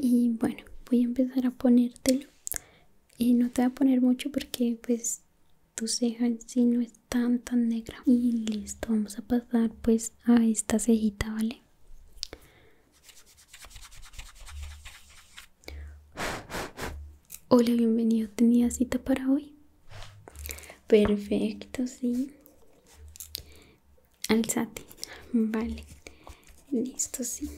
Y bueno, voy a empezar a ponértelo. y eh, no te va a poner mucho porque pues tu ceja en sí no es tan tan negra y listo vamos a pasar pues a esta cejita vale hola bienvenido tenía cita para hoy perfecto sí alzate vale listo sí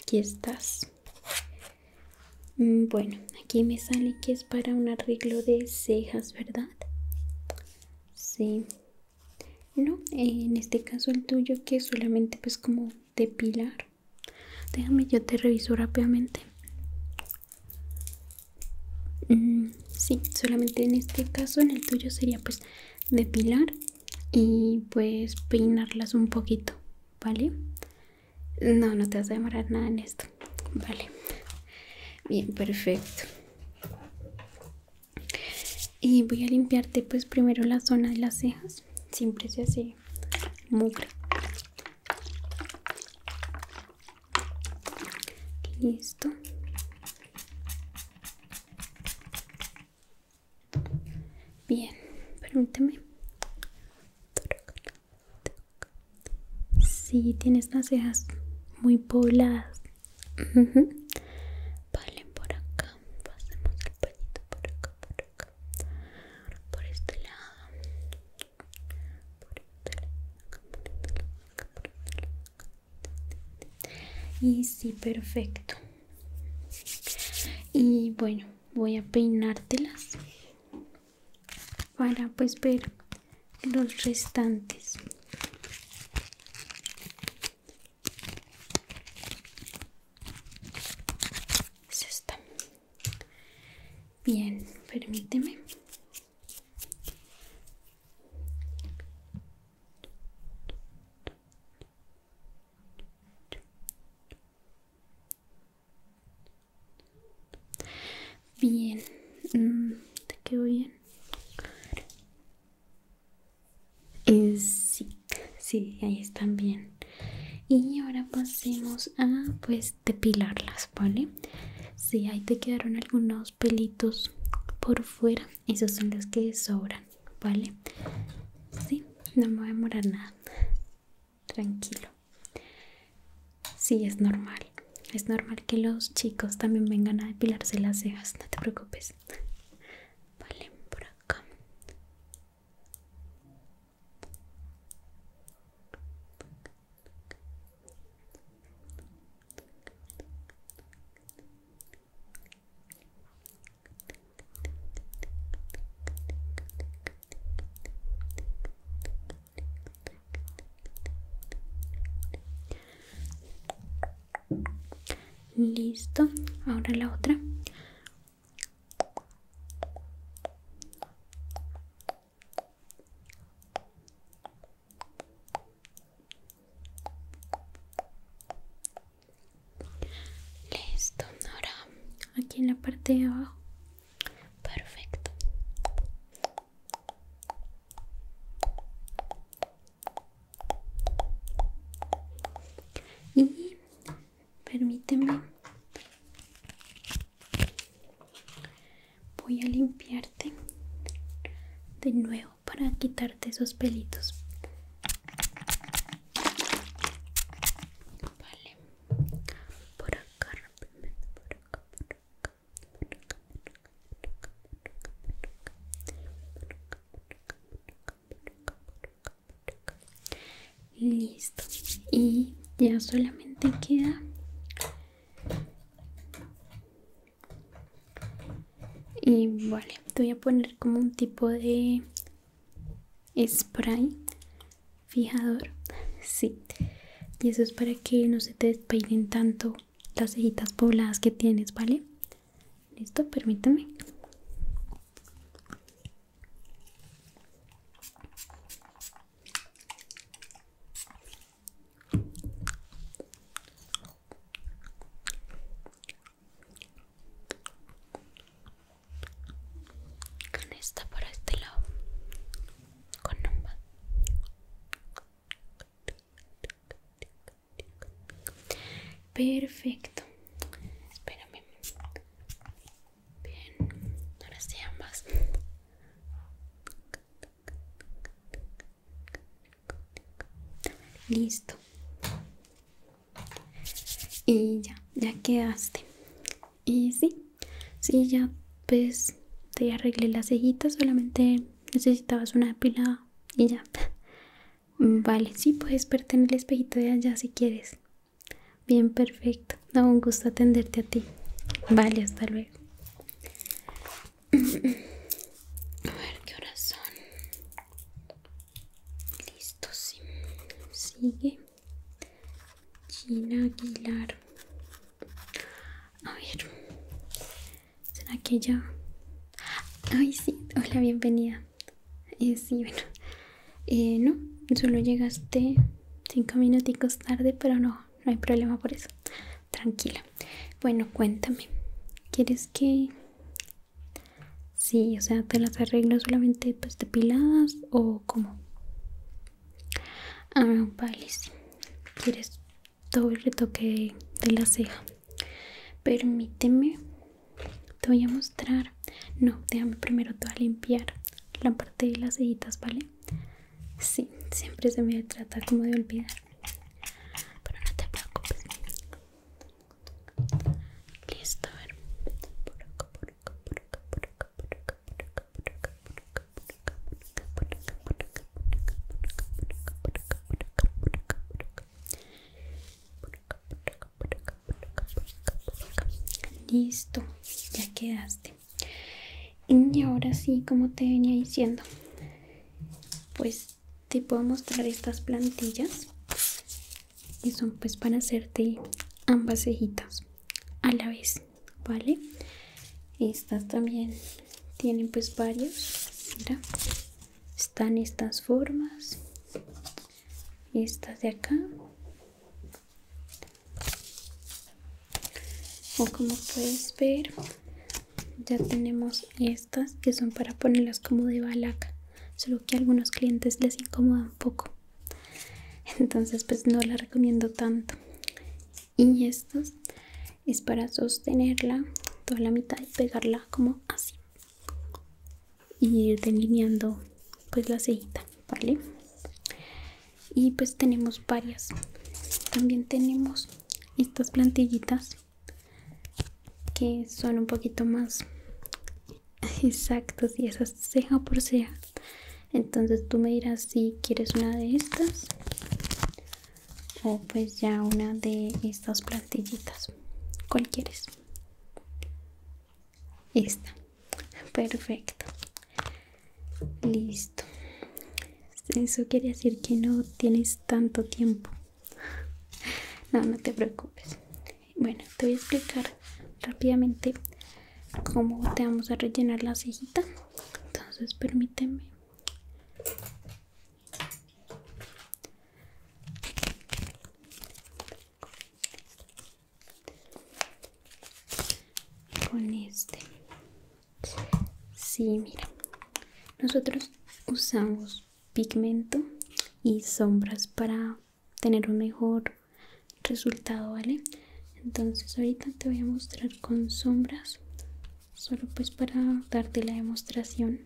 aquí estás Mm, bueno, aquí me sale que es para un arreglo de cejas, ¿verdad? Sí. No, en este caso el tuyo que es solamente pues como depilar. Déjame, yo te reviso rápidamente. Mm, sí, solamente en este caso en el tuyo sería pues depilar y pues peinarlas un poquito, ¿vale? No, no te vas a demorar nada en esto. Vale. Bien, perfecto. Y voy a limpiarte pues primero la zona de las cejas. Siempre se hace mugre. Listo. Bien, permíteme. Sí, tienes las cejas muy pobladas. Vale, por acá. Pasemos el palito por acá, por acá. Por este lado. Por este lado. Y sí, perfecto. Y bueno, voy a peinártelas para pues ver los restantes bien permíteme Bien, te quedó bien. sí, ahí están bien. Y ahora pasemos a pues depilarlas, ¿vale? Si sí, ahí te quedaron algunos pelitos por fuera, esos son los que sobran, ¿vale? Sí, no me voy a demorar nada. Tranquilo. Sí, es normal. Es normal que los chicos también vengan a depilarse las cejas, no te preocupes. Vale, por acá. Listo, ahora la otra. Listo, ahora aquí en la parte de abajo. Perfecto. Y permíteme, voy a limpiarte de nuevo para quitarte esos pelitos. Vale, por acá, por acá, por acá. Listo. Y ya solamente queda y vale, te voy a poner como un tipo de spray fijador. Sí y eso es para que no se te despeinen tanto las cejitas pobladas que tienes, ¿vale? Listo, permítame. Con esta por este lado, con nomba. Perfecto. Espérame. Bien. Ahora sí ambas. Listo. Y ya, ya quedaste. Y sí, Sí, ya pues te arreglé las cejitas, solamente necesitabas una pila y ya. Mm, vale, sí, puedes pertenecer en el espejito de allá si quieres. Bien, perfecto. Da un gusto atenderte a ti. Vale, hasta luego. A ver qué horas son. Listo, sí. Sigue. Gina Aguilar. A ver, ¿será que ya? Ay, sí, hola, bienvenida. Eh, sí, bueno, eh, no, solo llegaste cinco minuticos tarde, pero no, no hay problema por eso. Tranquila. Bueno, cuéntame, ¿quieres que...? Sí, o sea, ¿te las arreglo solamente pues depiladas o como Ah, vale, sí. ¿Quieres todo el retoque de la ceja permíteme te voy a mostrar no déjame primero toda limpiar la parte de las cejitas vale sí siempre se me trata como de olvidar pero no te preocupes listo a ver por acá por acá por acá por acá por acá por acá por acá, por acá, por acá, Listo, ya quedaste. Y ahora sí, como te venía diciendo, pues te puedo mostrar estas plantillas que son pues para hacerte ambas cejitas a la vez vale estas también tienen pues varios están estas formas estas de acá o como puedes ver ya tenemos estas que son para ponerlas como de balaca solo que a algunos clientes les incomoda un poco entonces pues no las recomiendo tanto y estas es para sostenerla toda la mitad y pegarla como así y ir delineando pues la cejita vale y pues tenemos varias también tenemos estas plantillitas que son un poquito más exactas y esas ceja por ceja entonces tú me dirás si quieres una de estas o pues ya una de estas plantillitas cualquiera quieres? esta perfecto listo eso quiere decir que no tienes tanto tiempo no no te preocupes bueno te voy a explicar rápidamente cómo te vamos a rellenar la cejita entonces permíteme con este sí mira nosotros usamos pigmento y sombras para tener un mejor resultado vale entonces ahorita te voy a mostrar con sombras solo pues para darte la demostración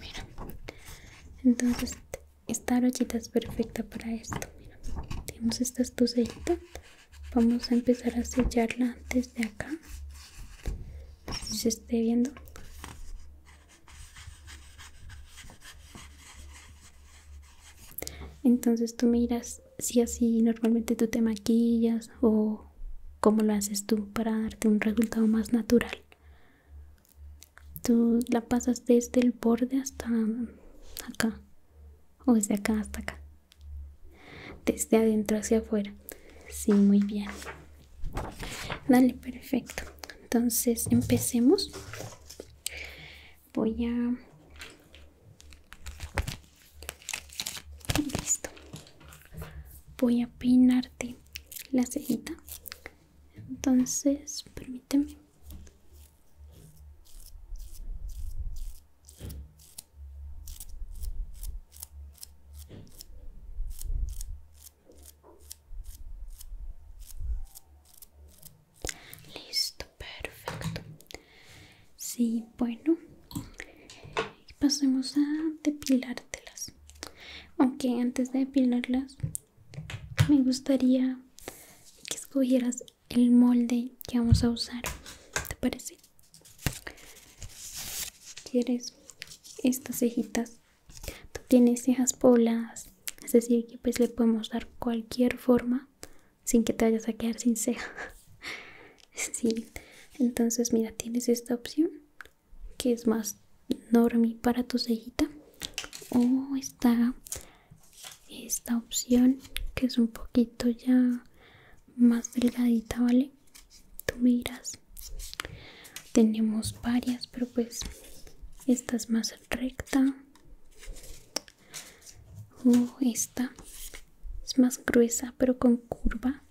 mira entonces esta brochita es perfecta para esto mira tenemos estas dos vamos a empezar a sellarla desde acá se esté viendo entonces tú miras si así normalmente tú te maquillas o cómo lo haces tú para darte un resultado más natural. Tú la pasas desde el borde hasta acá o desde acá hasta acá. Desde adentro hacia afuera. Sí, muy bien. Dale, perfecto. Entonces empecemos voy a listo voy a peinarte la cejita entonces permíteme Listo, perfecto. Sí, bueno. pasemos a depilártelas. Aunque antes de depilarlas, me gustaría que escogieras el molde que vamos a usar. ¿Te parece? ¿Quieres estas cejitas? Tú tienes cejas pobladas, es decir, que pues le podemos dar cualquier forma sin que te vayas a quedar sin ceja. sí, entonces mira, tienes esta opción que es más normie para tu cejita o está esta opción que es un poquito ya más delgadita, ¿vale? Tú miras Tenemos varias, pero pues esta es más recta o oh, esta es más gruesa pero con curva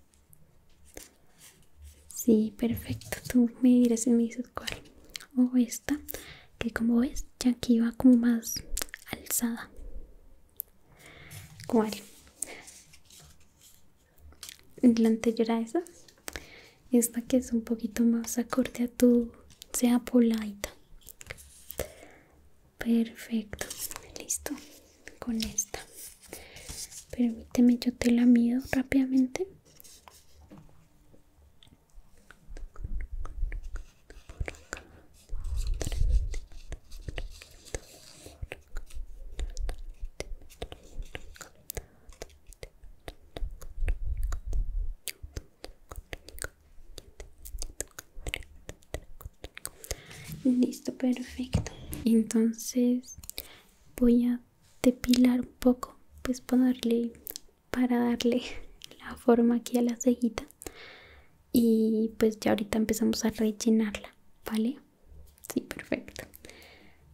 sí perfecto tú me dirás y me dices cuál o oh, esta que como ves ya aquí va como más alzada cuál la anterior a esa esta que es un poquito más acorde a tu sea poladita perfecto listo con esta permíteme yo te la mido rápidamente Listo, perfecto. Entonces voy a depilar un poco, pues ponerle para darle la forma aquí a la cejita. Y pues ya ahorita empezamos a rellenarla, ¿vale? Sí, perfecto.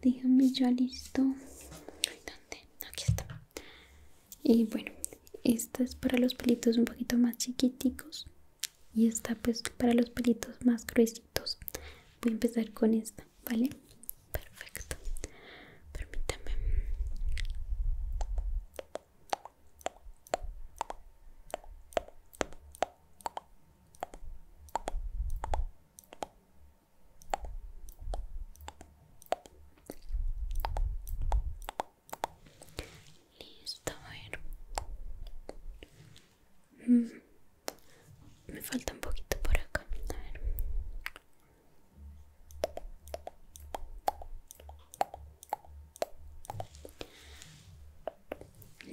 Déjame yo listo. ¿dónde? Aquí está y bueno esta es para los pelitos un poquito más chiquiticos y esta pues para los pelitos más gruesitos voy a empezar con esta vale perfecto permítame Listo, a ver. Mm. Me falta un poquito por acá. A ver.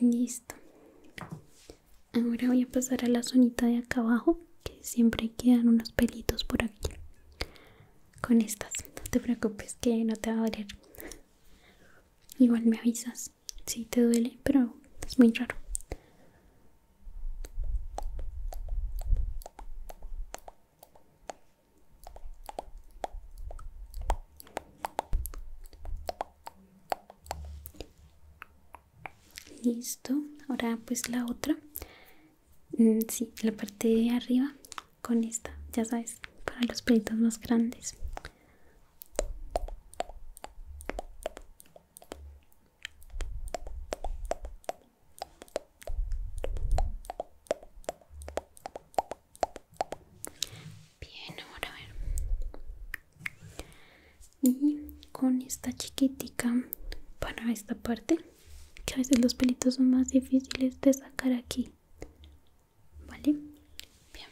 Listo. Ahora voy a pasar a la zonita de acá abajo, que siempre quedan unos pelitos por aquí con estas. No te preocupes que no te va a doler. Igual me avisas si te duele, pero es muy raro. Listo, ahora pues la otra. Mm, sí, la parte de arriba con esta, ya sabes, para los pelitos más grandes. Bien, ahora a ver. Y con esta chiquitica para esta parte, que a veces los pelitos son más difíciles de sacar aquí. ¿Vale? Bien.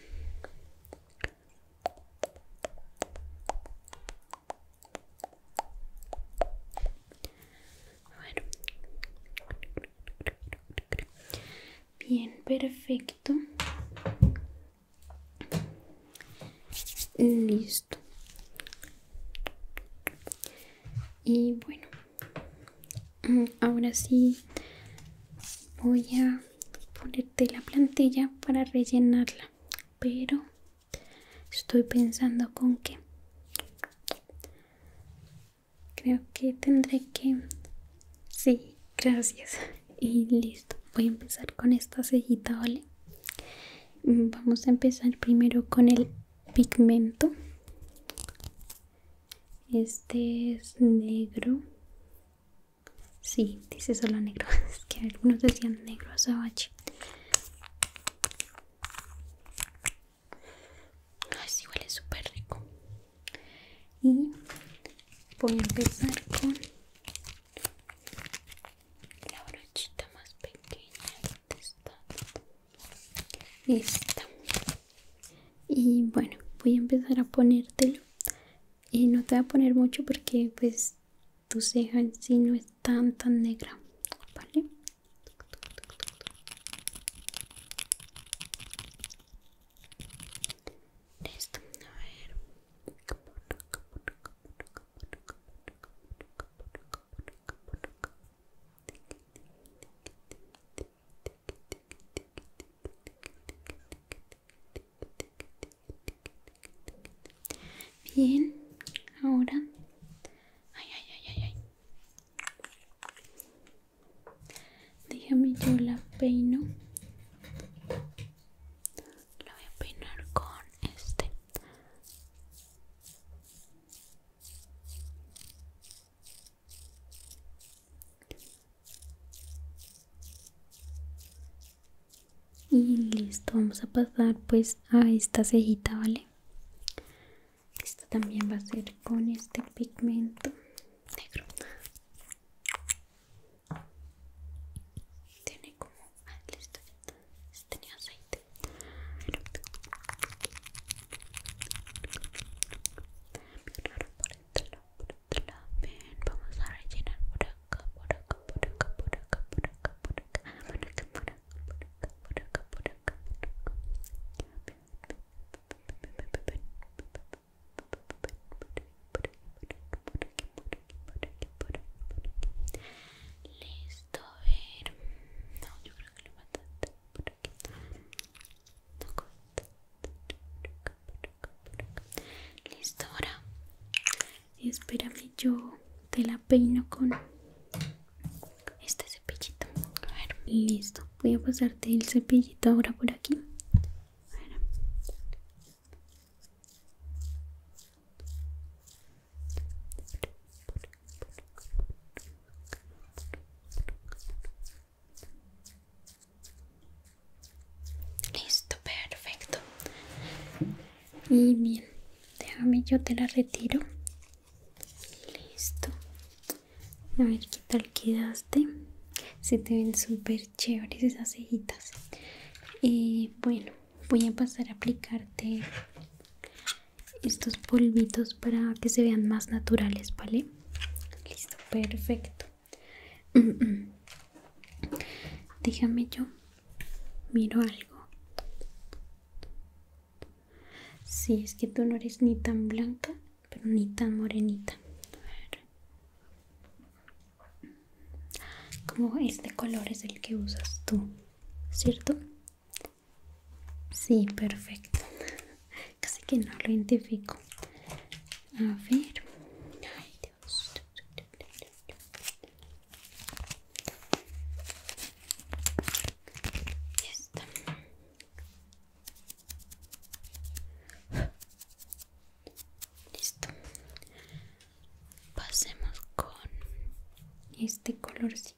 Bien, perfecto. Listo. Y bueno, Mm, ahora sí voy a ponerte la plantilla para rellenarla, pero estoy pensando con que creo que tendré que... Sí, gracias. Y listo, voy a empezar con esta cejita, ¿vale? Vamos a empezar primero con el pigmento este es negro. Sí, dice solo negro. Es que algunos decían negro azabache. Ah, es igual es súper rico. Y voy a empezar con la brochita más pequeña. está? esta y bueno voy a empezar a ponértelo y no te voy a poner mucho porque pues tu ceja en sí no es tan tan negra vale Bien, ahora. Ay, ay, ay, ay, ay. Déjame yo la peino. La voy a peinar con este y listo vamos a pasar pues a esta cejita vale esta también va a ser con este pigmento negro tiene como ah, listo tenía aceite por lado, por lado, vamos a rellenar por acá, por acá, por acá, por acá, por acá, por acá, acá, acá, Listo, a ver. No, yo creo que le por listo Listo, ahora que yo te la peino con este cepillito. A ver, listo. Voy a pasarte el cepillito ahora por aquí. Listo, perfecto. Y bien, déjame yo te la retiro. Listo. A ver qué tal quedaste. Se te ven súper chéveres esas cejitas. Y eh, bueno, voy a pasar a aplicarte estos polvitos para que se vean más naturales, ¿vale? Listo, perfecto. Déjame yo. Miro algo. si, es que tú no eres ni tan blanca, pero ni tan morenita. A ver. Como este color es el que usas tú, ¿cierto? Sí, perfecto casi que no lo identifico a ver ay Dios listo pasemos con este colorcito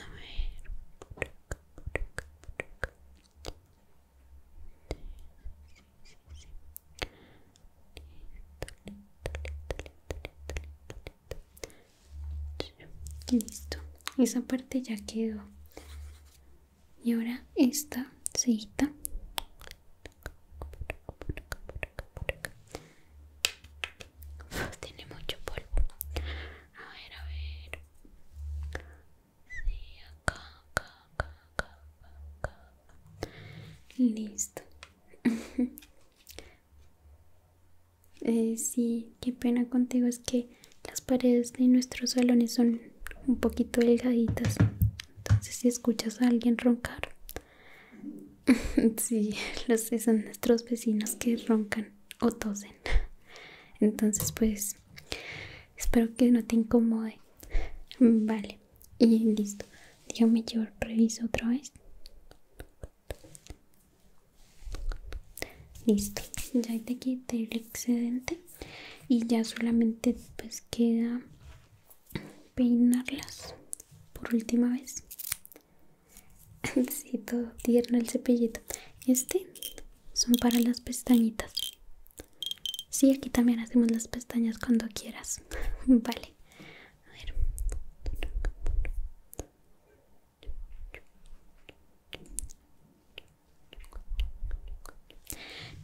a ver, Listo, esa parte ya quedó. Y ahora esta cejita tiene mucho polvo. A ver, a ver. Listo. eh, sí, qué pena contigo es que las paredes de nuestros salones son un poquito delgaditas. Entonces si escuchas a alguien roncar, Sí, los son nuestros vecinos que roncan o tosen. Entonces, pues, espero que no te incomode. Vale, y listo. Dígame, yo reviso otra vez. Listo, ya te quité el excedente y ya solamente pues queda peinarlas por última vez. sí, todo tierno el cepillito. Este son para las pestañitas. Sí, aquí también hacemos las pestañas cuando quieras. vale. A ver.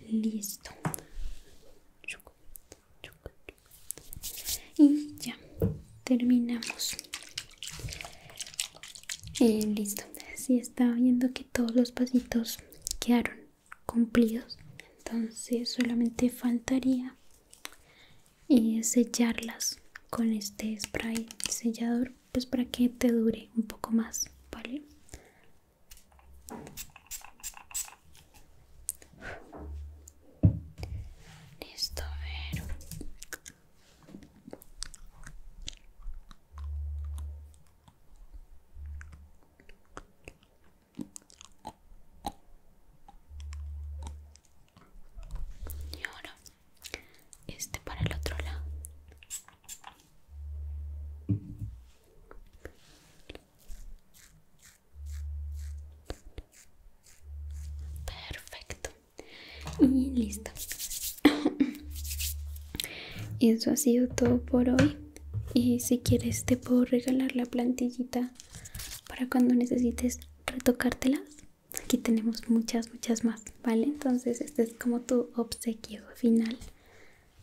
Listo y ya terminamos eh, listo así estaba viendo que todos los pasitos quedaron cumplidos entonces solamente faltaría eh, sellarlas con este spray sellador pues para que te dure un poco más vale Listo, a ver. Y ahora este para el otro lado. Perfecto. Y listo. Eso ha sido todo por hoy. Y si quieres te puedo regalar la plantillita para cuando necesites retocártelas. Aquí tenemos muchas, muchas más, ¿vale? Entonces este es como tu obsequio final.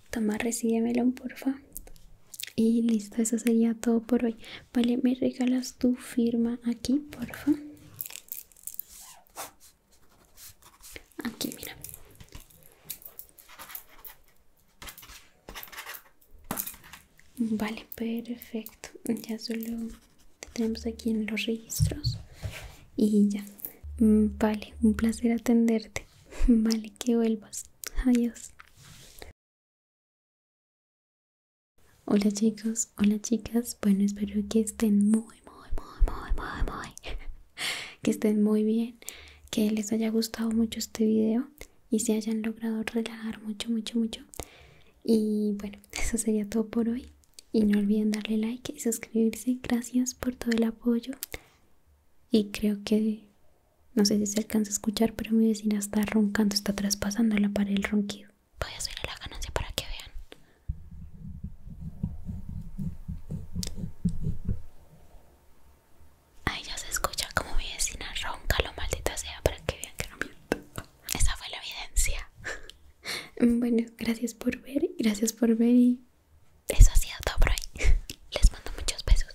Toma, melón, porfa. Y listo, eso sería todo por hoy. Vale, ¿me regalas tu firma aquí, por favor? Aquí, mira. Vale, perfecto. Ya solo tenemos aquí en los registros. Y ya. Mm, vale, un placer atenderte. Vale, que vuelvas. Adiós. Hola chicos, hola chicas, bueno espero que estén muy, muy, muy, muy, muy, muy, que estén muy bien, que les haya gustado mucho este video y se hayan logrado relajar mucho, mucho, mucho. Y bueno, eso sería todo por hoy. Y no olviden darle like y suscribirse. Gracias por todo el apoyo. Y creo que no sé si se alcanza a escuchar, pero mi vecina está roncando, está traspasando la pared el ronquido. Voy a subir la ganancia para que vean. Ahí ya se escucha como mi vecina ronca, lo maldita sea, para que vean que no miento. Esa fue la evidencia. Bueno, gracias por ver, gracias por ver y eso ha sido todo por hoy. Les mando muchos besos.